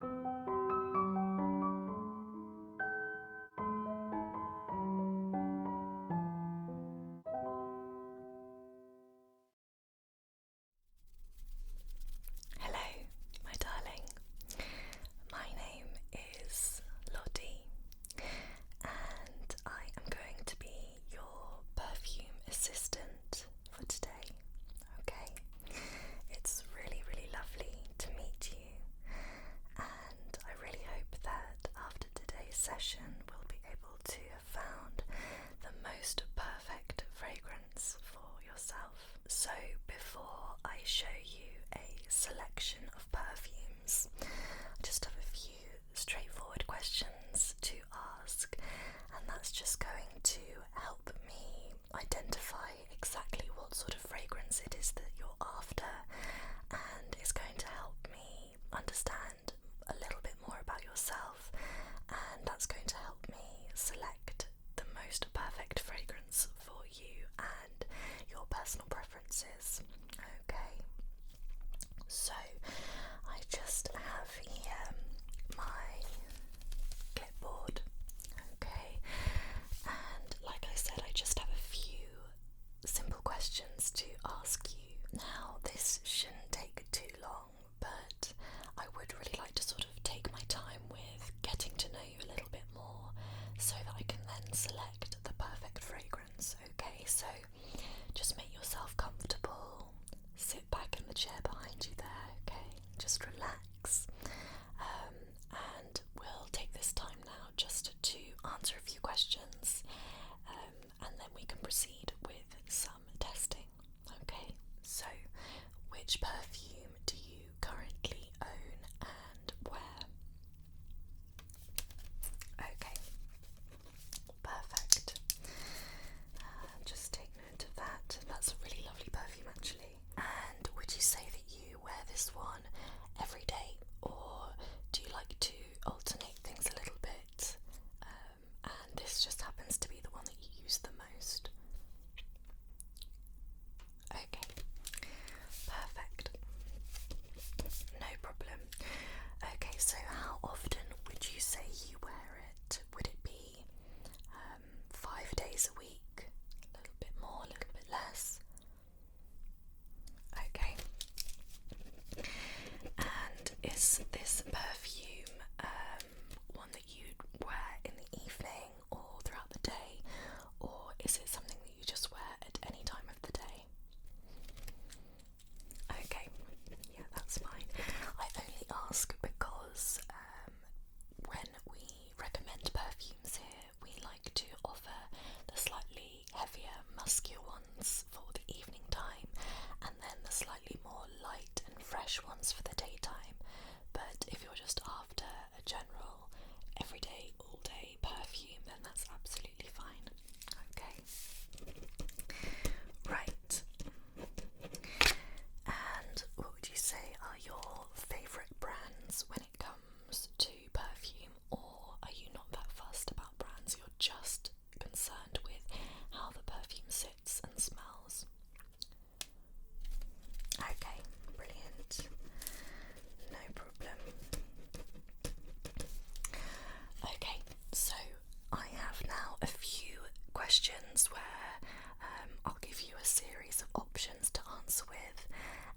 Hello, my darling. My name is Lottie, and I am going to be your perfume assistant for today. Okay? It's really, really lovely to meet you, and I really hope that after today's session, we'll be able to have found the most perfect fragrance for yourself. So, before I show you a selection of perfumes, I just have a few straightforward questions to ask, and that's just going to help me identify exactly what sort of fragrance it is that you're after, and it's going to help me understand a little bit more about yourself, and that's going to help me select the most perfect fragrance for you and your personal preferences. Okay, so I just have here my clipboard. Okay, and like I said, I just have a few simple questions to ask you. Now, this shouldn't take too long, but I would really like to sort of take my time with getting to know you a little bit more so that I can then select the perfect fragrance. Okay, so just make yourself comfortable, sit back in the chair behind you there, okay? Just relax. Um, and we'll take this time now just to answer a few questions um, and then we can proceed with some testing. Okay, so which perfume do you currently own and where? Okay, perfect. Uh, just taking that. That's a really lovely perfume, actually. And would you say that you wear this one every day, or do you like to alternate things a little bit? Um, and this just happens to be the one that you use the most. Okay, perfect. No problem. Okay, so how often would you say you wear it? Would it be um, five days a week, a little bit more, a little bit less. Okay. And is this perfume um, one that you wear in the evening or throughout the day, or is it something that you just wear at any time of the day? Okay, yeah, that's fine. I only ask because um, when we recommend perfumes here, we like to offer the slightly heavier, muskier ones for the evening time and then the slightly more light and fresh ones for the daytime. But if you're just after a general, everyday, all day perfume, then that's absolutely fine. Okay. Right. And what would you say are your favourite brands when it comes to perfume, or are you not that fussed about brands? You're just concerned with how the perfume sits and smells. Okay, brilliant. No problem. Okay, so I have now a few questions where um, I'll give you a series of options to answer with,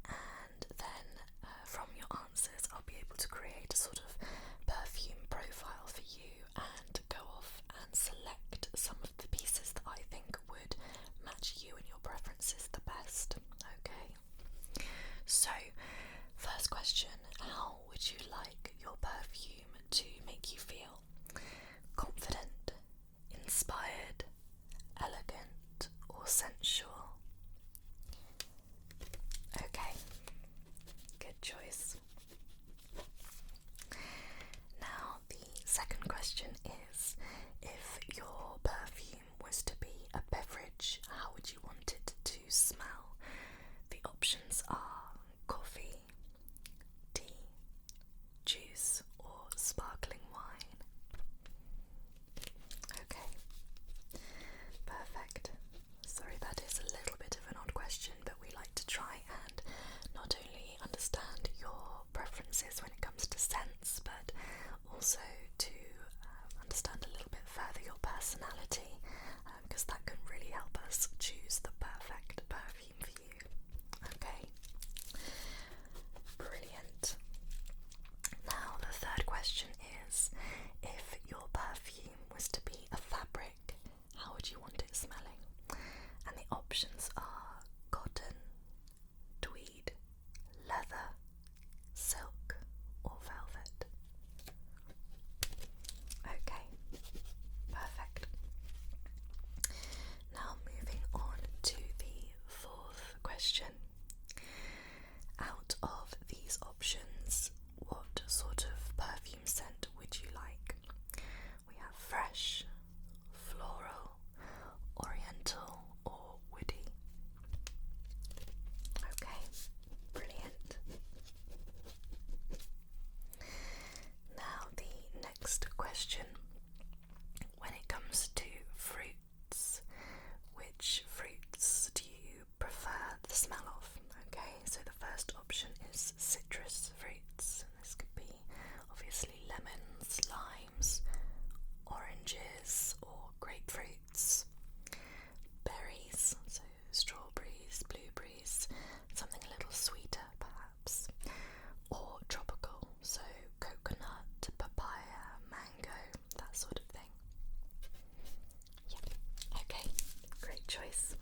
and then uh, from your answers, I'll be able to create a sort of perfume profile for you and go off and select some of the pieces that I think would match you and your preferences the best. Okay, so first question How would you like your perfume to make you feel? confident, inspired, elegant, or sensual. Okay, good choice. Now, the second question is if your perfume was to be a beverage, how would you want it to smell? The options are coffee, tea, juice, or sparkling wine. Okay, perfect. Sorry, that is a little bit of an odd question, but we like to try and not only understand your preferences when it comes to scents, but also to um, understand a little bit further your personality because um, that can really help us choose the perfect perfume Okay. Brilliant. Now, the third question is if your perfume was to be a fabric, how would you want it smelling? And the options are cotton, tweed, leather, silk, or velvet. Okay, perfect. Now, moving on to the fourth question. Out of these options, what sort of perfume scent would you like? We have fresh, floral, oriental, or woody. Okay, brilliant. Now, the next question when it comes to fruits, which fruits do you prefer the smell of? Okay, so the first option is citrus fruits, this could be obviously lemons, limes, oranges, or grapefruits, berries, so strawberries, blueberries, something a little sweeter perhaps, or tropical, so coconut, papaya, mango, that sort of thing. Yeah, okay, great choice.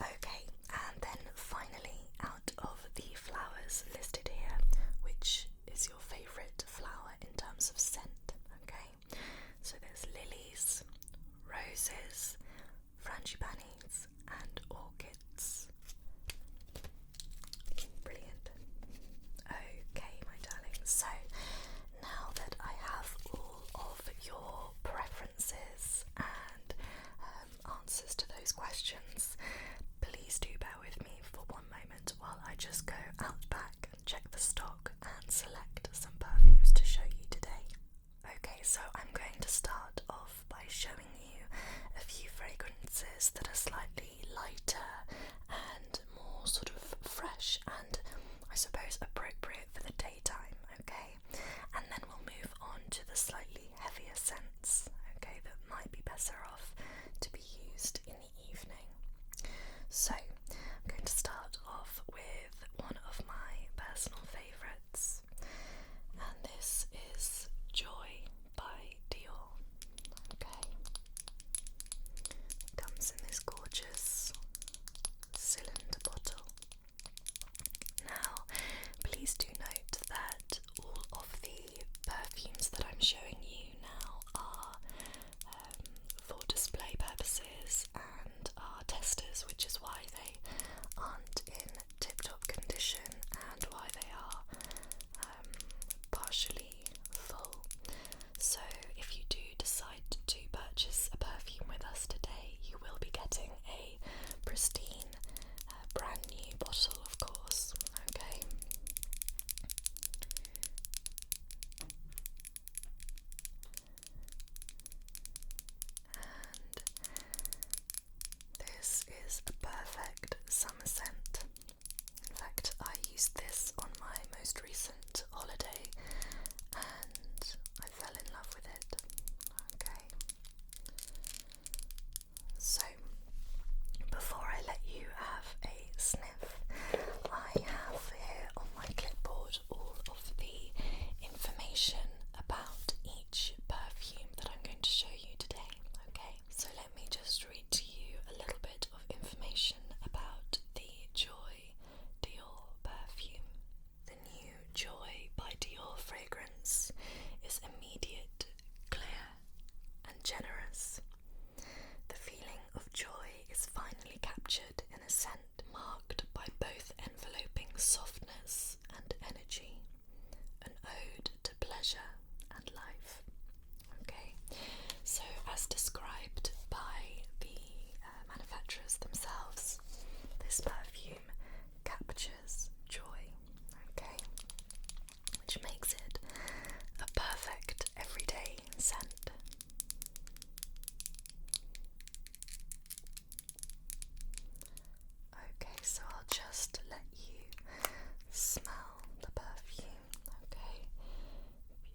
Okay, and then finally, out of the flowers listed here, which is your favourite flower in terms of scent? Okay, so there's lilies, roses, frangipanis, and orchids. Brilliant. Okay, my darling. So now that I have all of your preferences and um, answers to those questions, please do bear with me for one moment while I just go out back check the stock and select some perfumes to show you today. Okay, so I'm going to start off by showing you a few fragrances that are slightly lighter and more sort of fresh and I suppose appropriate for the daytime, okay? And then we'll move on to the slightly heavier scents, okay, that might be better off to be used the evening. So, I'm going to start off with one of my personal favourites, and this is Joy by Dior. Okay, comes in this gorgeous cylinder bottle. Now, please do note that all of the perfumes that I'm showing you now are um, for display purposes and are testers, which is why they aren't in tip top condition and why they are um, partially full. So, if you do decide to purchase a perfume with us today, you will be getting a pristine, uh, brand new bottle, of course. Okay this is a perfect summer scent. In fact, I used this on my most recent holiday and I fell in love with it. Okay. So, before I let you have sniff. I have here on my clipboard all of the information about each perfume that I'm going to show you today. Okay, so let me just read to you a little bit of information about the Joy Dior perfume. The new Joy by Dior fragrance is immediate, clear, and generous. The feeling of joy is finally captured in a scent marked by both enveloping softness and energy, an ode to pleasure and life. Okay, so as described by the uh, manufacturers themselves, this perfume captures joy. Okay, which makes it a perfect everyday scent. Okay, so I'll just let you smell the perfume, okay?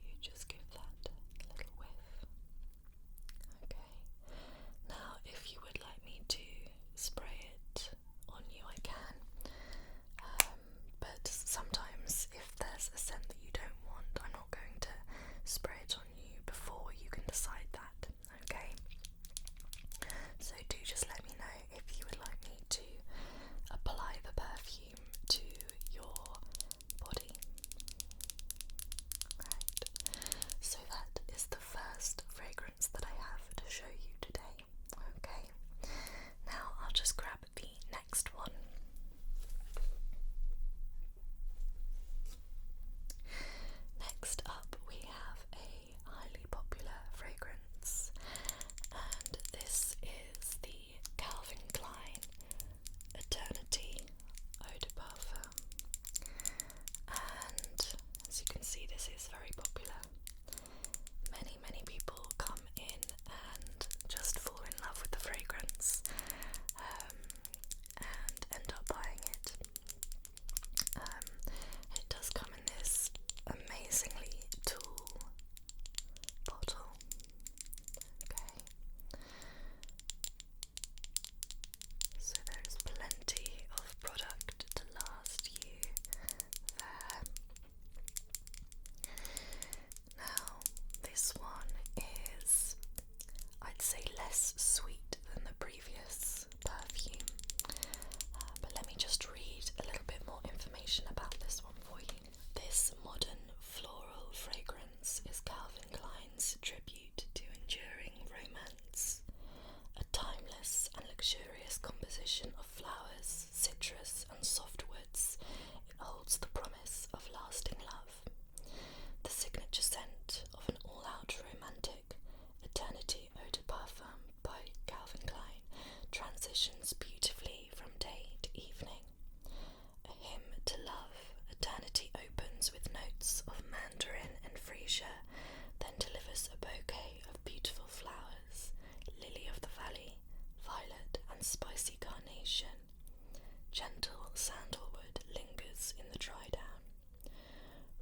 You just give that a little whiff. Okay, now if you would like me to spray it on you, I can. Um, but sometimes if there's a scent that you don't want, I'm not going to spray it on you before you can decide that, okay? So do just let me know if you would like me to apply the perfume to your body. Right. So that is the first fragrance that I have to show you today. Okay. Now I'll just grab the next one. Next up, we have a highly popular fragrance, and this is the Calvin Klein Eternity Eau de Parfum. And as you can see, this is very popular many, many people come in and just fall in love with the fragrance um, and end up buying it. Um, it does come in this amazingly tall bottle. So there is plenty of product to last you there. Now, this one is, I'd say, less sweet than the previous perfume, uh, but let me just read a little bit more information about this one for you. This modern floral fragrance is Calvin Klein's tribute to enduring romance, a timeless and luxurious composition of flowers citrus, and soft woods, it holds the promise of lasting love. The signature scent of an all out romantic eternity eau de parfum by Calvin Klein transitions beautifully from day to evening. A hymn to love, eternity opens with notes of mandarin and freesia, then delivers a bouquet of beautiful flowers lily of the valley, violet, and spicy carnation. Gentle sandalwood lingers in the dry down.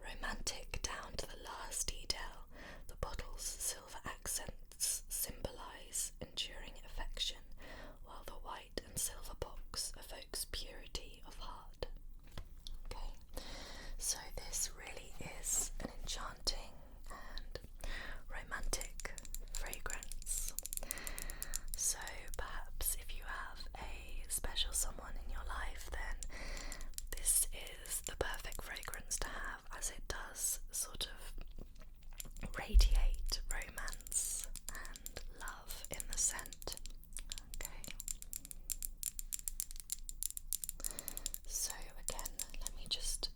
Romantic down to the last detail, the bottle's silver accents symbolize enduring affection, while the white and silver box evokes purity of heart. Okay, so this really is an enchanting romantic fragrance. So perhaps if you have a special someone in your life, then this is the perfect fragrance to have as it does sort of radiate romance and love in the scent. Okay. So, again, let me just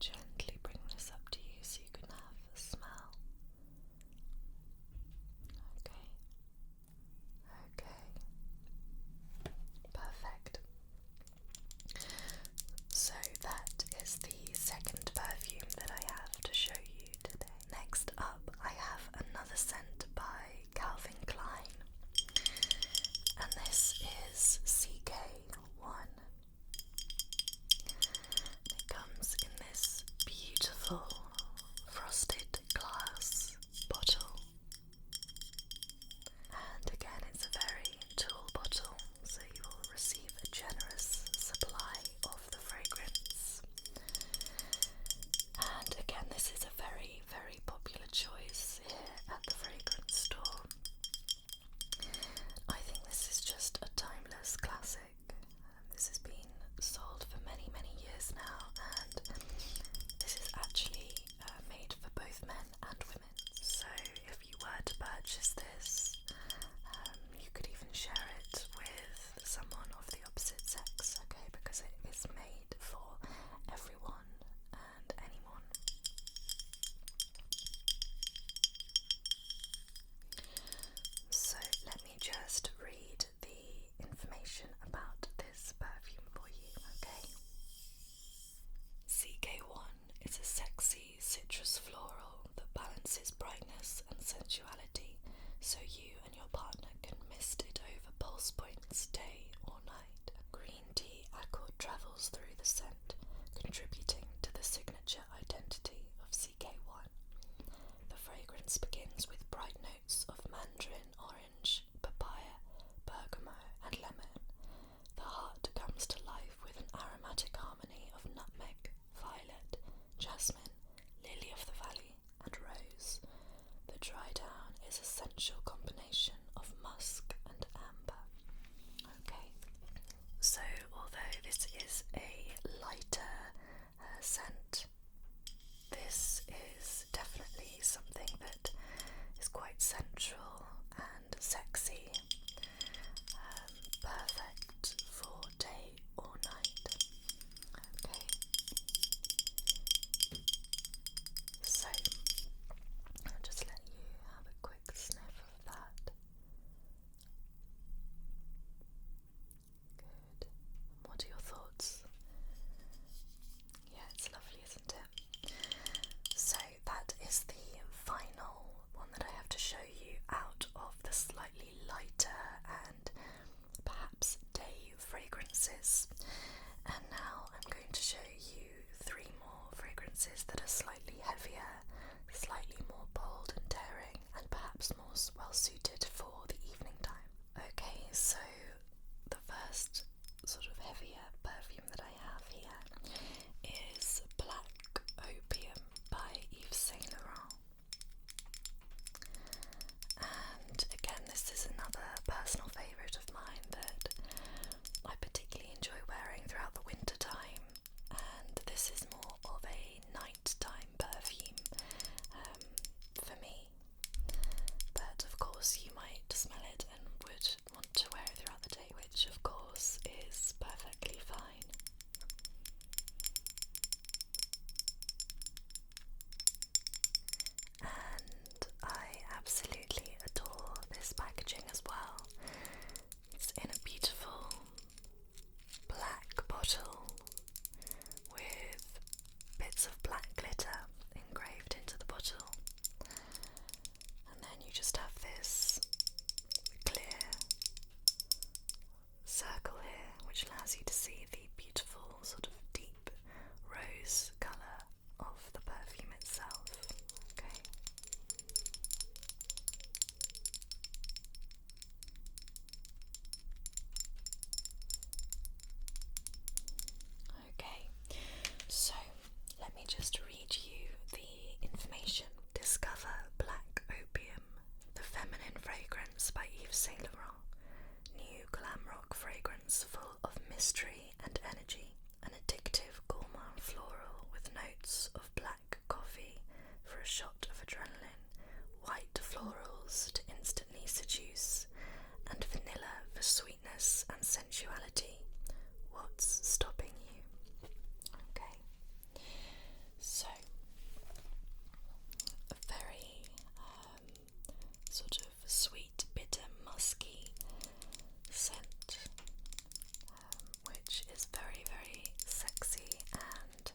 gently bring this up to you so you can have a smell. Okay. Okay. Perfect. So, that is the second perfume that I have to show you today. Next up, I have another scent by Calvin Klein and this is CK1. it comes in this beautiful frosted glass bottle. And again, it's a very tall bottle, so you will receive a generous supply of the fragrance. And again, this is a very, very popular choice this here at the fragrance store. I think this is just a timeless classic. Um, this has been sold for many, many years now, and this is actually uh, made for both men and women. So if you were to purchase this, um, you could even share it with someone of the opposite sex, okay? Because it is made for everyone. Um, so let me just read the information about this perfume for you, okay? CK1 is a sexy citrus floral that balances brightness and sensuality so you and your partner can mist it over pulse points day or night. Green green tea accord travels through the scent, contributing to the signature identity of CK1. The fragrance begins with bright notes of mandarin orange, papaya, bergamot, and lemon. The heart comes to life with an aromatic harmony of nutmeg, violet, jasmine, lily of the valley, and rose, the dry down is a essential combination of musk and amber. Okay, so although this is a lighter uh, scent, this is definitely something that is quite sensual and sexy, um, perfect for day or night. Okay. So I'll just let you have a quick sniff of that. Good. What are your thoughts? Yeah, it's lovely, isn't it? So that is the final one that I have to show you out of the slightly lighter and perhaps day fragrances, and now I'm going to show you three more fragrances that are slightly heavier, slightly more bold and daring, and perhaps more well suited for the evening time. Okay, so the first sort of heavier perfume that I have here is Black Opium by Yves Saint Laurent again, this is another personal favourite of mine that I particularly enjoy wearing throughout the winter time. And this is more of a nighttime perfume um, for me. But of course, you might smell it and would want to wear it throughout the day, which of course is perfectly fine and I absolutely adore this packaging as well. It's in a beautiful black bottle with bits of black glitter engraved into the bottle, and then you just have this clear circle here which allows you to see the beautiful sort of deep rose colour of the perfume itself. Okay. Okay, so let me just read you the information. Discover Black Opium, the feminine fragrance by Yves Saint Laurent. New glam rock fragrance for of mystery and energy, an addictive gourmand floral with notes of black coffee for a shot of adrenaline, white florals to instantly seduce, and vanilla for sweetness and sensuality. What's stopping you? Okay. So, very um, sort of sweet, bitter, musky scent, um, which is very, very sexy and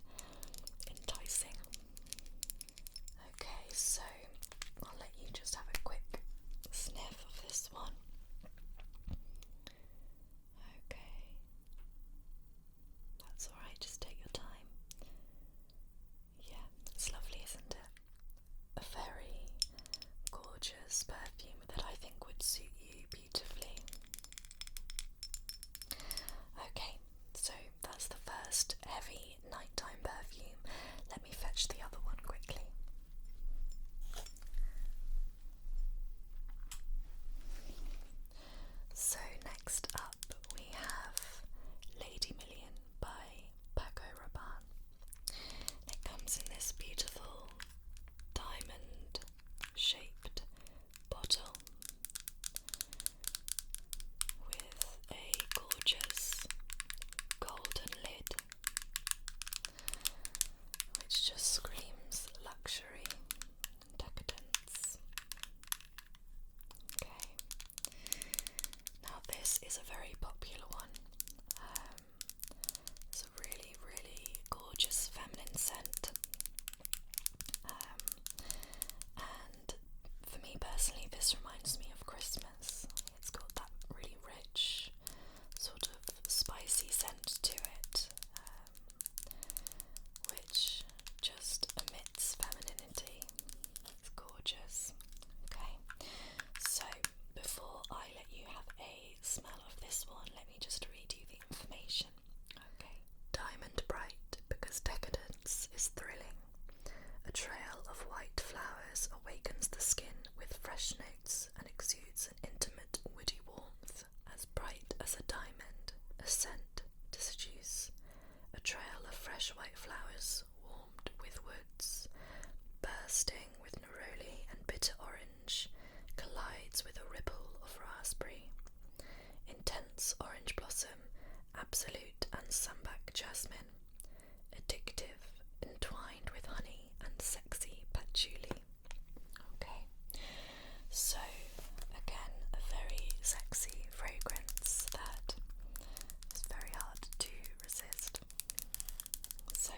enticing. Okay, so I'll let you just have a quick sniff of this one. Okay, that's alright, just take your time. Yeah, it's lovely, isn't it? a very gorgeous perfume that I think would suit you beautifully. Okay, so that's the first heavy nighttime perfume. Let me fetch the other one quickly. So, next up we have Lady Million by Paco Rabanne. it comes in this beautiful diamond shaped bottle with a gorgeous golden lid which just screams luxury decadence. Okay. Now this is a very popular one. Um, it's a really, really gorgeous feminine scent. Um, and for me personally, this reminds me of Christmas. It's got that really rich, sort of spicy scent to it, um, which just emits feminine it's gorgeous. Okay, so before I let you have a smell of this one, let me just read you the information. Okay. Diamond bright because decadence is thrilling. A trail of white flowers awakens the skin with fresh notes and exudes an intimate woody warmth. As bright as a diamond, a scent to seduce. A trail of fresh white flowers warmed with woods, bursting with neroli and bitter orange, collides with a ripple of raspberry. Intense orange blossom, absolute and sambac jasmine, addictive, entwined with honey and sexy patchouli. Okay, so again, a very sexy fragrance that it's very hard to resist. So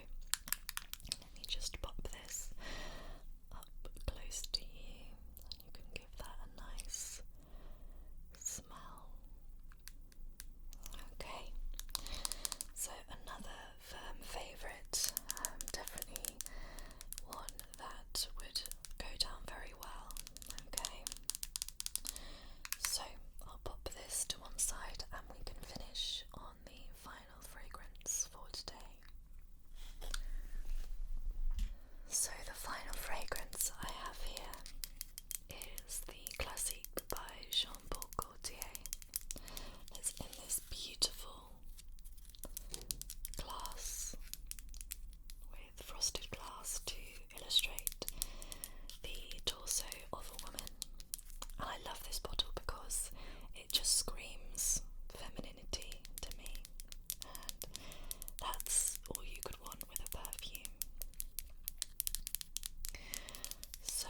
let me just pop this up close to you, and you can give that a nice smell. Okay, so another firm favourite, um, definitely one that would go down very well Okay, so I'll pop this to one side and we can finish on the final fragrance for today. So, the final fragrance I have here is the Classique by Jean Paul Gaultier. It's in this beautiful glass frosted glass to illustrate the torso of a woman. And I love this bottle because it just screams femininity to me. And that's all you could want with a perfume. So,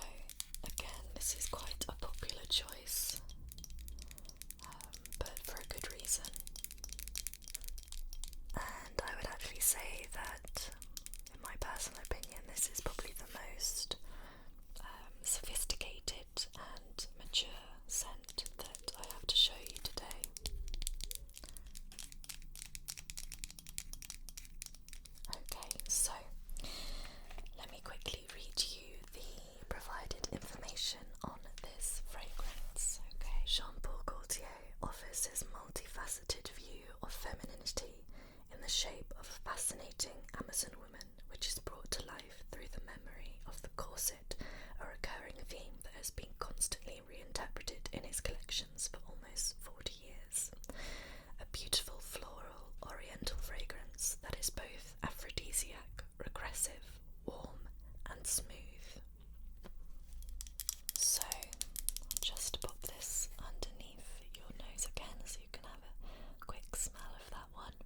again, this is quite a popular choice, um, but for a good reason. And I would actually say that, in my personal opinion, this is probably the most um, sophisticated and mature scent that I have to show you today. Okay, so let me quickly read you the provided information on this fragrance. Okay, Jean Paul Gaultier offers his multifaceted view of femininity in the shape of a fascinating Amazon woman, which is brought to life through the memory of the corset, a recurring theme that has been constantly reinterpreted in his collections for almost 40 years. A beautiful floral oriental fragrance that is both aphrodisiac, regressive, warm, and smooth. So just pop this underneath your nose again so you can have a quick smell of that one.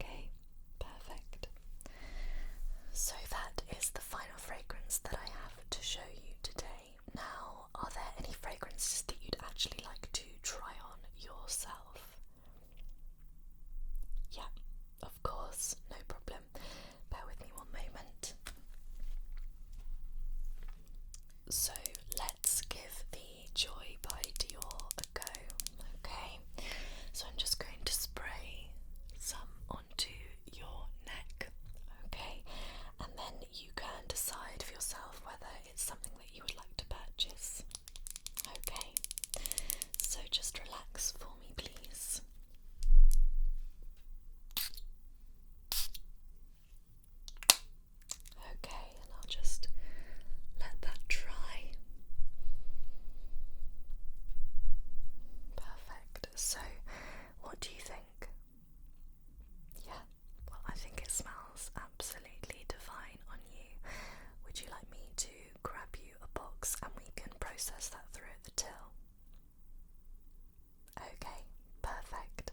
Okay, perfect. So that is the final fragrance that I have to show you today. Now, are there any fragrances that you'd actually like to try on yourself? Yeah, of course, no problem. Bear with me one moment. So let's give the Joy by Dior a go, okay? So I'm just going to spray some onto your neck, okay? And then you can decide for yourself whether it's something that you would like to purchase. Okay, so just relax for me, please. Okay, and I'll just let that dry. Perfect. So, what do you think? Yeah, well, I think it smells absolutely divine on you. Would you like me to grab you a box and we can process that through at the till. Okay, perfect.